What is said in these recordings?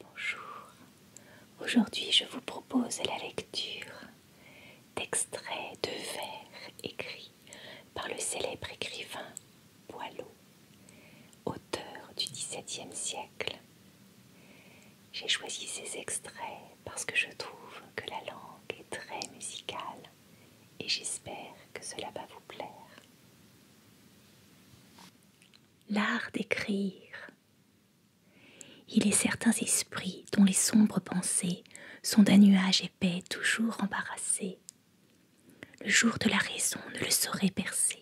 Bonjour, aujourd'hui je vous propose la lecture d'extraits de vers écrits par le célèbre écrivain Boileau, auteur du XVIIe siècle. J'ai choisi ces extraits parce que je trouve que la langue est très musicale et j'espère que cela va vous plaire. L'art d'écrire. Il est certains esprits dont les sombres pensées sont d'un nuage épais toujours embarrassé Le jour de la raison ne le saurait percer.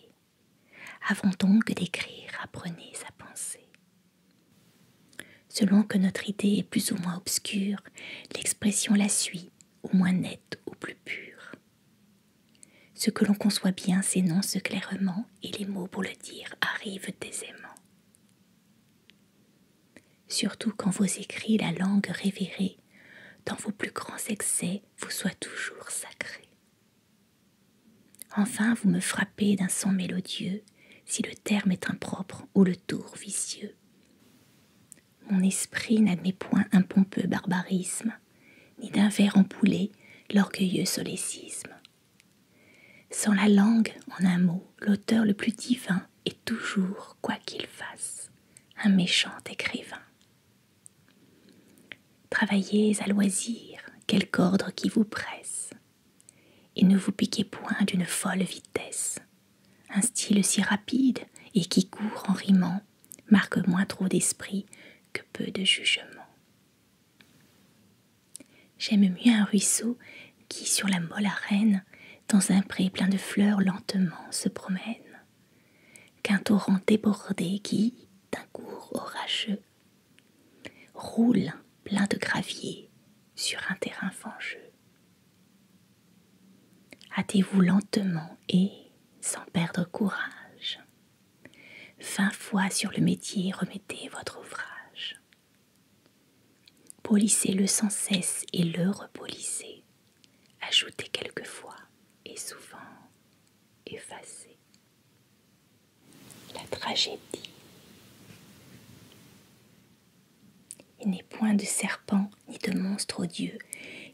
Avant donc d'écrire, apprenez sa pensée. Selon que notre idée est plus ou moins obscure, l'expression la suit, au moins nette ou plus pure. Ce que l'on conçoit bien s'énonce clairement et les mots pour le dire arrivent aisément. Surtout quand vos écrits, la langue révérée, dans vos plus grands excès, vous soient toujours sacrés Enfin, vous me frappez d'un son mélodieux, si le terme est impropre ou le tour vicieux. Mon esprit n'admet point un pompeux barbarisme, ni d'un verre empoulé l'orgueilleux solécisme. Sans la langue, en un mot, l'auteur le plus divin est toujours, quoi qu'il fasse, un méchant écrivain. Travaillez à loisir, quel ordre qui vous presse, et ne vous piquez point d'une folle vitesse. Un style si rapide et qui court en riment marque moins trop d'esprit que peu de jugement. J'aime mieux un ruisseau qui, sur la molle arène, dans un pré plein de fleurs, lentement se promène, qu'un torrent débordé qui, d'un cours orageux, roule plein de gravier sur un terrain fangeux. Hâtez-vous lentement et, sans perdre courage, vingt fois sur le métier remettez votre ouvrage. Polissez-le sans cesse et le repolissez. Ajoutez quelquefois et souvent effacez. La tragédie. Il n'est point de serpent ni de monstre odieux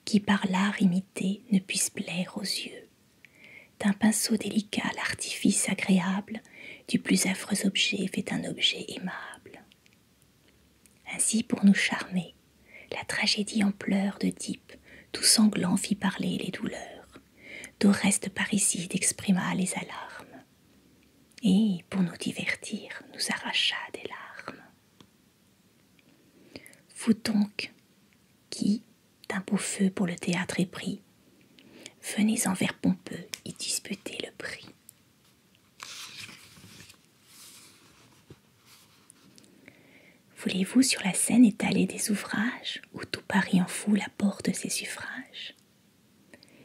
qui par l'art imité ne puisse plaire aux yeux. D'un pinceau délicat l'artifice agréable du plus affreux objet fait un objet aimable. Ainsi pour nous charmer, la tragédie en pleurs de type tout sanglant fit parler les douleurs. D'Oreste Parricide exprima les alarmes et, pour nous divertir, nous arracha des larmes. Vous donc, qui, d'un beau feu pour le théâtre épris, pris, venez en vers pompeux y disputer le prix. Voulez-vous sur la scène étaler des ouvrages où tout Paris en foule apporte ses suffrages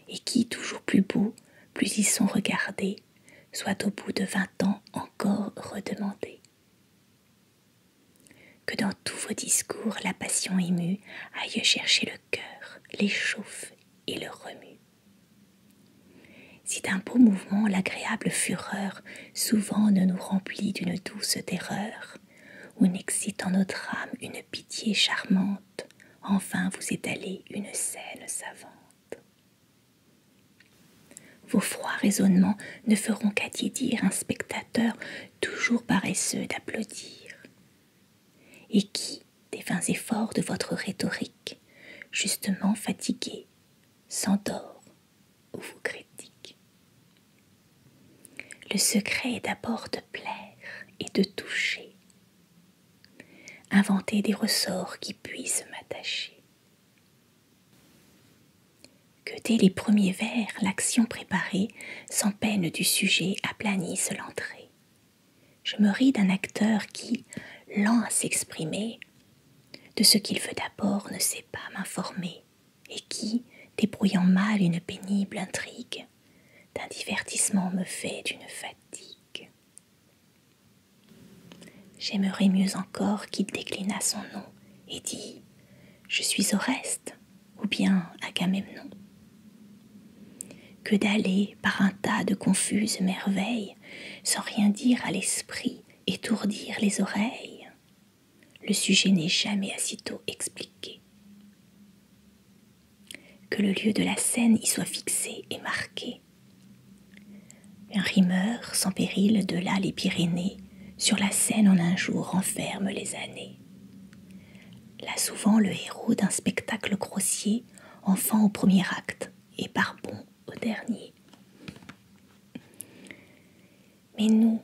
et qui, toujours plus beau, plus ils sont regardés, Soit au bout de vingt ans encore redemandés. Que dans tous vos discours la passion émue aille chercher le cœur, l'échauffe et le remue. Si d'un beau mouvement l'agréable fureur souvent ne nous remplit d'une douce terreur, ou n'excite en notre âme une pitié charmante, enfin vous étalez une scène savante. Vos froids raisonnements ne feront qu'attiédir un spectateur toujours paresseux d'applaudir, et qui, des vains efforts de votre rhétorique, justement fatigué, s'endort ou vous critique. Le secret est d'abord de plaire et de toucher, inventer des ressorts qui puissent m'attacher. Que dès les premiers vers, l'action préparée, sans peine du sujet, aplanisse l'entrée. Je me ris d'un acteur qui, lent à s'exprimer, de ce qu'il veut d'abord ne sait pas m'informer, et qui, débrouillant mal une pénible intrigue, d'un divertissement me fait d'une fatigue. J'aimerais mieux encore qu'il déclinât son nom et dit Je suis Oreste ou bien Agamemnon. Que d'aller par un tas de confuses merveilles sans rien dire à l'esprit, étourdir les oreilles. Le sujet n'est jamais assez tôt expliqué que le lieu de la scène y soit fixé et marqué. Un rimeur sans péril de là les Pyrénées, sur la scène en un jour renferme les années. Là souvent le héros d'un spectacle grossier, enfant au premier acte et barbon au dernier. Mais nous,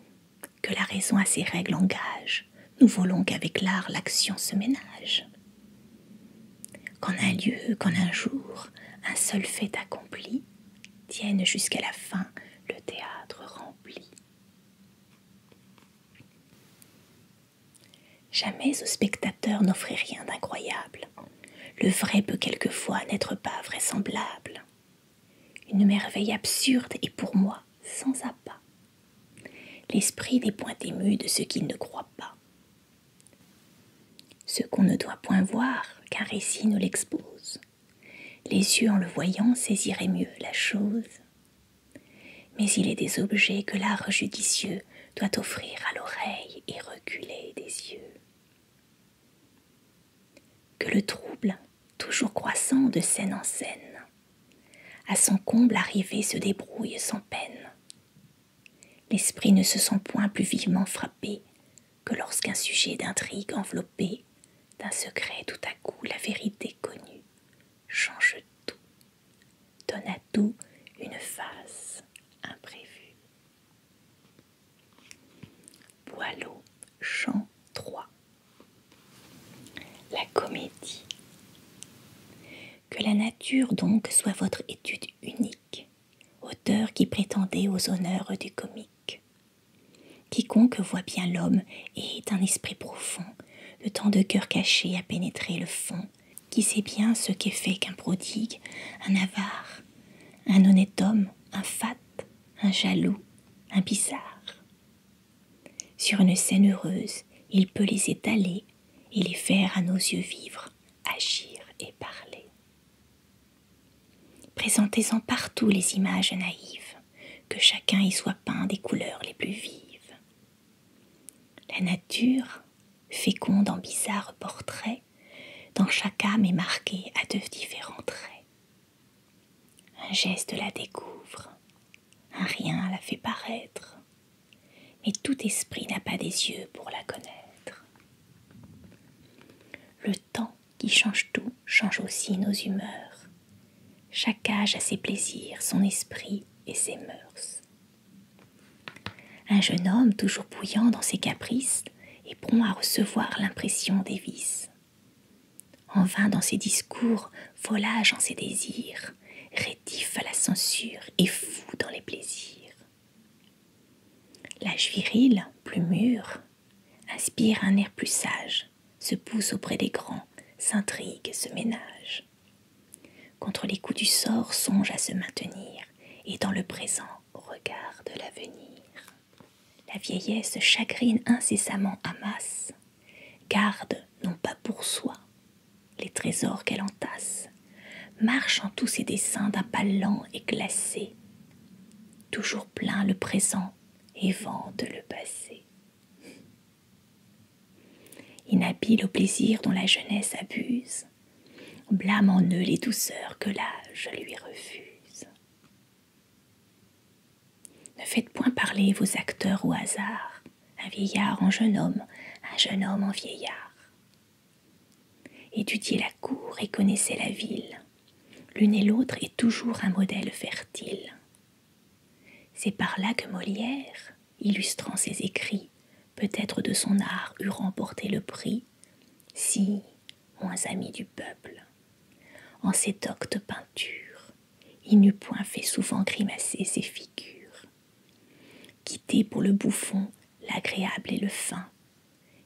que la raison à ses règles engage, nous voulons qu'avec l'art l'action se ménage. Qu'en un lieu, qu'en un jour, un seul fait accompli, tienne jusqu'à la fin le théâtre rempli. Jamais au spectateur n'offrait rien d'incroyable. Le vrai peut quelquefois n'être pas vraisemblable. Une merveille absurde est pour moi sans appât. L'esprit n'est point ému de ce qu'il ne croit pas. Ce qu'on ne doit point voir, qu'un récit nous l'expose. Les yeux en le voyant saisiraient mieux la chose. Mais il est des objets que l'art judicieux doit offrir à l'oreille et reculer des yeux. Que le trouble, toujours croissant de scène en scène, à son comble arrivé se débrouille sans peine. L'esprit ne se sent point plus vivement frappé que lorsqu'un sujet d'intrigue enveloppé d'un secret tout à coup la vérité connue change tout, donne à tout une face imprévue. Boileau, chant 3 la comédie. Que la nature donc soit votre étude unique, auteur qui prétendait aux honneurs du comique. Quiconque voit bien l'homme et est un esprit profond, le temps de cœur caché à pénétrer le fond, qui sait bien ce qu'est fait qu'un prodigue, un avare, un honnête homme, un fat, un jaloux, un bizarre. Sur une scène heureuse, il peut les étaler et les faire à nos yeux vivre, agir et parler. Présentez-en partout les images naïves, que chacun y soit peint des couleurs les plus vives. La nature, féconde en bizarres portraits, dans chaque âme est marquée à de différents traits. Un geste la découvre, un rien la fait paraître, mais tout esprit n'a pas des yeux pour la connaître. Le temps qui change tout change aussi nos humeurs. Chaque âge a ses plaisirs, son esprit et ses mœurs. Un jeune homme toujours bouillant dans ses caprices est prompt à recevoir l'impression des vices. En vain dans ses discours, volage en ses désirs, à la censure et fou dans les plaisirs. L'âge viril, plus mûr, inspire un air plus sage, se pousse auprès des grands, s'intrigue, se ménage. Contre les coups du sort, songe à se maintenir, et dans le présent, regarde l'avenir. La vieillesse chagrine incessamment à masse, Garde non pas pour soi les trésors qu'elle entasse, marche en tous ses dessins d'un pas lent et glacé, toujours plein le présent et vante le passé. Inhabile au plaisir dont la jeunesse abuse, blâme en eux les douceurs que l'âge lui refuse. Ne faites point parler vos acteurs au hasard, un vieillard en jeune homme, un jeune homme en vieillard. Étudiez la cour et connaissait la ville. L'une et l'autre est toujours un modèle fertile. C'est par là que Molière, illustrant ses écrits, peut-être de son art eût remporté le prix, si, moins amis du peuple, en cette doctes peintures il n'eût point fait souvent grimacer ses figures. Quitter pour le bouffon l'agréable et le fin,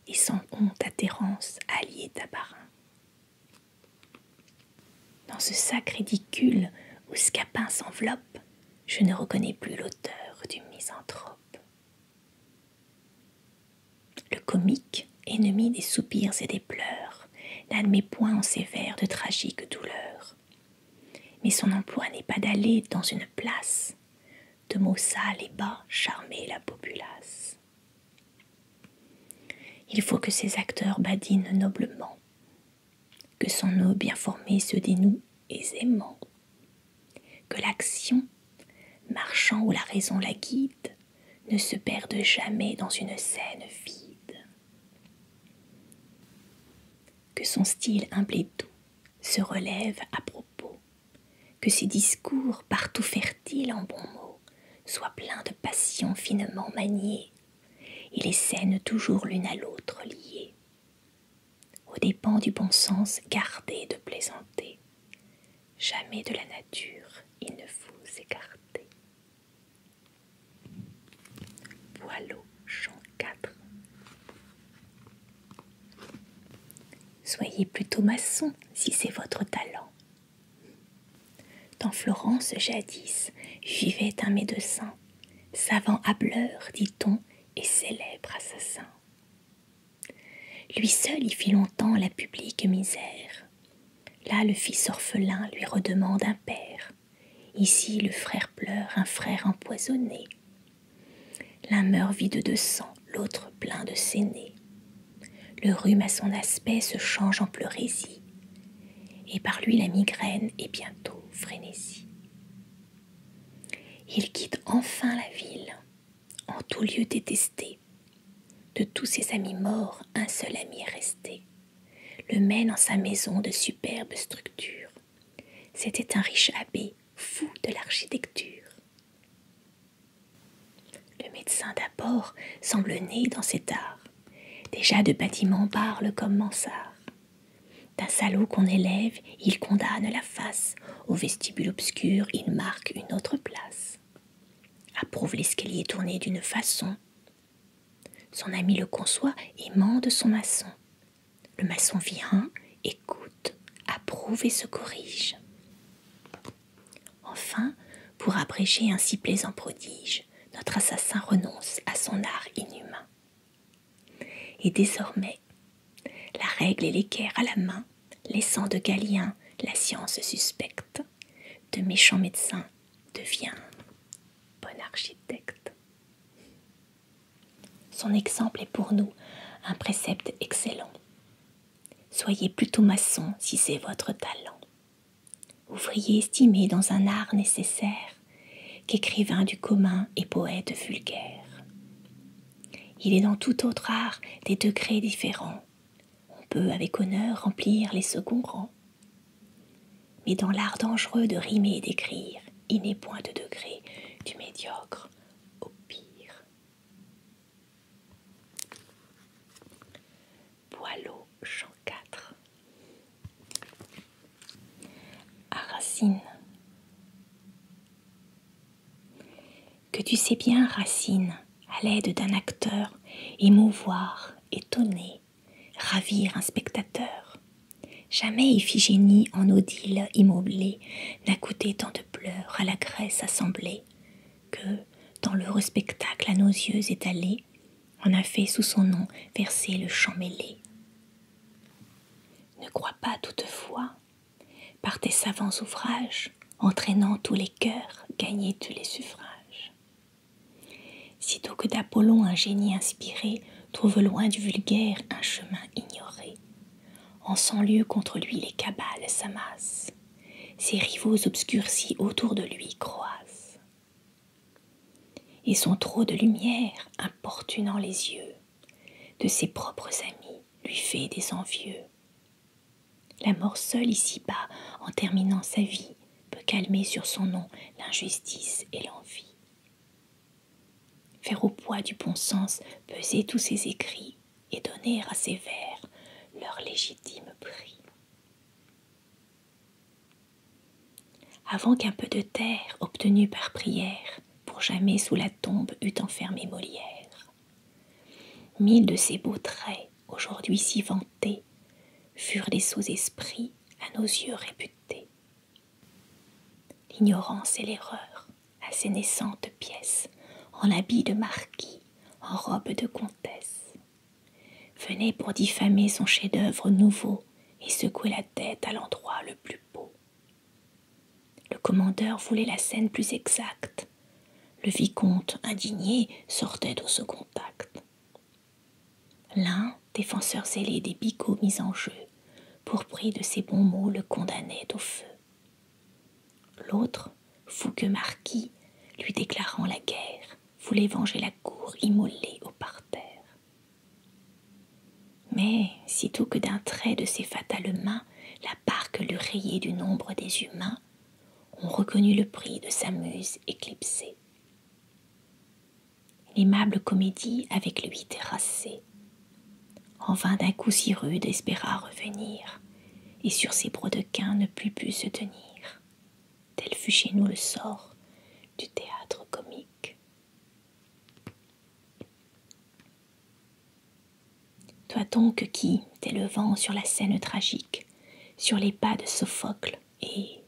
et sans honte à Thérence, allié Tabarin. Dans ce sac ridicule où Scapin s'enveloppe, je ne reconnais plus l'auteur du misanthrope. Le comique, ennemi des soupirs et des pleurs, n'admet point en ses vers de tragiques douleurs mais son emploi n'est pas d'aller dans une place, de mots sales et bas charmer la populace. Il faut que ses acteurs badinent noblement, que son eau bien formé se dénoue aisément, que l'action, marchant où la raison la guide, ne se perde jamais dans une scène vide que son style humble et doux se relève à propos, que ses discours, partout fertiles en bons mots, soient pleins de passions finement maniées et les scènes toujours l'une à l'autre liées, Au dépens du bon sens gardé de plaisanter, jamais de la nature il ne vous écartez. Boileau, Jean Soyez plutôt maçon si c'est votre talent. Dans Florence, jadis, vivait un médecin, savant hableur, dit-on, et célèbre assassin. Lui seul y fit longtemps la publique misère. Là, le fils orphelin lui redemande un père. Ici, le frère pleure, un frère empoisonné. L'un meurt vide de sang, l'autre plein de sénés. Le rhume à son aspect se change en pleurésie, et par lui la migraine est bientôt frénésie. Il quitte enfin la ville, en tout lieu détesté. De tous ses amis morts, un seul ami est resté le mène en sa maison de superbe structure. C'était un riche abbé, fou de l'architecture. Le médecin d'abord semble né dans cet art, déjà de bâtiments parle comme mansard. D'un salaud qu'on élève, il condamne la face, au vestibule obscur, il marque une autre place. Approuve l'escalier tourné d'une façon, son ami le conçoit et mande son maçon. Le maçon vient, écoute, approuve et se corrige. Enfin, pour abréger un si plaisant prodige, notre assassin renonce à son art inhumain. Et désormais, la règle et l'équerre à la main, laissant de Galien la science suspecte, de méchant médecin devient bon architecte. Son exemple est pour nous un précepte excellent. Soyez plutôt maçon si c'est votre talent, ouvrier estimé dans un art nécessaire, qu'écrivain du commun et poète vulgaire. Il est dans tout autre art des degrés différents. On peut avec honneur remplir les seconds rangs. Mais dans l'art dangereux de rimer et d'écrire, il n'est point de degré du médiocre au pire. Boileau, chant 4. À Racine. Que tu sais bien, Racine, à l'aide d'un acteur, émouvoir, étonner, ravir un spectateur. Jamais Iphigénie en odile immoblée n'a coûté tant de pleurs à la Grèce assemblée, que, dans l'heureux spectacle à nos yeux étalé, on a fait sous son nom verser le champ mêlé. Ne crois pas toutefois, par tes savants ouvrages, entraînant tous les cœurs, gagner tous les suffrages. Sitôt que d'Apollon un génie inspiré trouve loin du vulgaire un chemin ignoré, en cent lieux contre lui les cabales s'amassent, ses rivaux obscurcis autour de lui croissent et son trop de lumière importunant les yeux de ses propres amis lui fait des envieux. La mort seule ici bas, en terminant sa vie, peut calmer sur son nom l'injustice et l'envie. Faire au poids du bon sens peser tous ses écrits et donner à ses vers leur légitime prix. Avant qu'un peu de terre obtenue par prière pour jamais sous la tombe eût enfermé Molière, mille de ses beaux traits, aujourd'hui si vantés, furent des sous-esprits à nos yeux réputés. L'ignorance et l'erreur, à ses naissantes pièces, en habit de marquis, en robe de comtesse, venait pour diffamer son chef-d'œuvre nouveau et secouer la tête à l'endroit le plus beau. Le commandeur voulait la scène plus exacte. Le vicomte, indigné, sortait de second acte. L'un, défenseur zélé des bigots mis en jeu, pour prix de ses bons mots le condamnait au feu. L'autre, fougueux marquis, lui déclarant la guerre, voulait venger la cour immolée au parterre. Mais, sitôt que d'un trait de ses fatales mains, la barque lui rayait du nombre des humains, on reconnut le prix de sa muse éclipsée. L'aimable comédie avec lui terrassée. En vain d'un coup si rude espéra revenir, et sur ses brodequins ne put plus se tenir. Tel fut chez nous le sort du théâtre comique. Toi donc qui, t'élevant sur la scène tragique, sur les pas de Sophocle et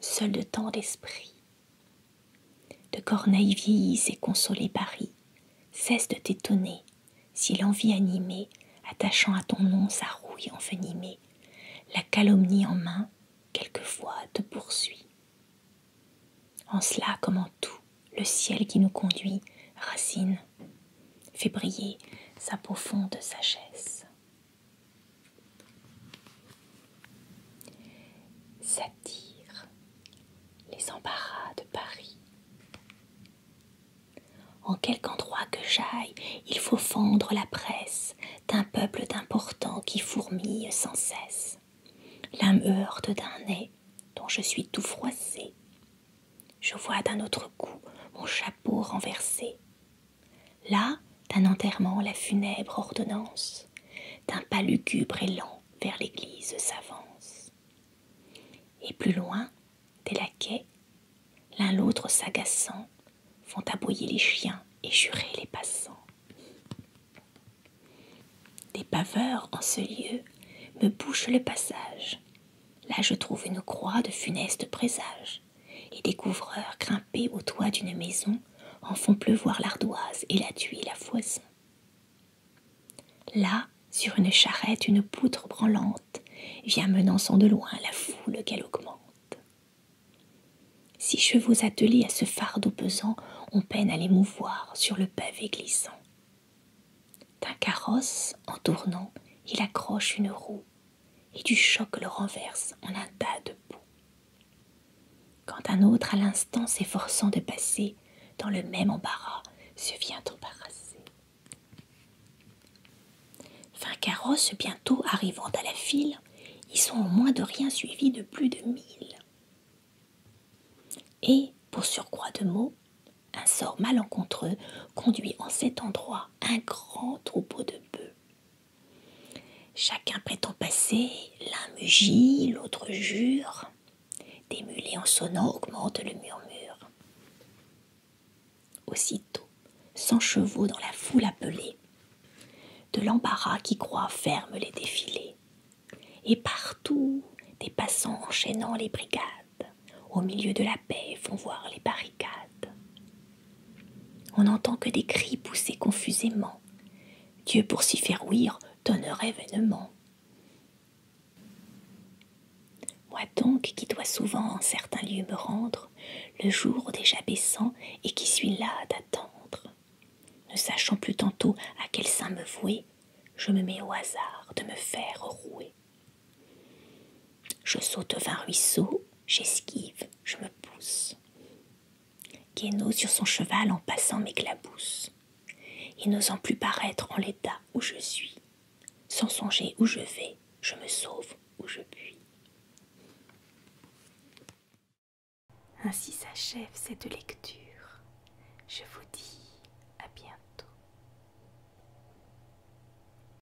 Seul de tant d'esprit. De Corneille vieillis et consolé Paris, cesse de t'étonner si l'envie animée, attachant à ton nom sa rouille envenimée, la calomnie en main, quelquefois te poursuit. En cela, comme en tout, le ciel qui nous conduit, Racine, fait briller sa profonde sagesse. Satire, les embarras de Paris. En quelque endroit que j'aille, il faut fendre la presse d'un peuple d'importants qui fourmille sans cesse. L'âme heurte d'un nez dont je suis tout froissé. Je vois d'un autre coup mon chapeau renversé. Là, d'un enterrement la funèbre ordonnance, d'un pas lugubre et lent vers l'église s'avance. Et plus loin, des laquais, l'un l'autre s'agaçant, font aboyer les chiens et jurer les passants. Des paveurs en ce lieu me bouchent le passage. Là je trouve une croix de funeste présage. Et des couvreurs grimpés au toit d'une maison, en font pleuvoir l'ardoise et la tuile la foison. Là, sur une charrette, une poutre branlante vient menaçant de loin la foule qu'elle augmente. Six chevaux attelés à ce fardeau pesant, on peine à les mouvoir sur le pavé glissant. D'un carrosse, en tournant, il accroche une roue et du choc le renverse en un tas de boue. Quand un autre, à l'instant s'efforçant de passer dans le même embarras, se vient embarrasser. Vingt carrosses bientôt arrivant à la file, ils sont au moins de rien suivis de plus de mille. Et, pour surcroît de mots, un sort malencontreux conduit en cet endroit un grand troupeau de bœufs Chacun prétend passer, l'un mugit, l'autre jure. Des mulets en sonnant augmentent le murmure. Aussitôt, cent chevaux dans la foule appelée de l'embarras qui croit ferme les défilés, et partout des passants enchaînant les brigades, au milieu de la paix font voir les barricades. On n'entend que des cris poussés confusément. Dieu, pour s'y faire ouïr, donnerait vainement. Moi donc, qui dois souvent en certains lieux me rendre, le jour déjà baissant et qui suis là d'attendre, ne sachant plus tantôt à quel saint me vouer, je me mets au hasard de me faire rouer. Je saute vingt ruisseaux, j'esquive, je me pousse. Guéno sur son cheval en passant m'éclabousse, et n'osant plus paraître en l'état où je suis, sans songer où je vais, je me sauve où je puis. Ainsi s'achève cette lecture. Je vous dis à bientôt.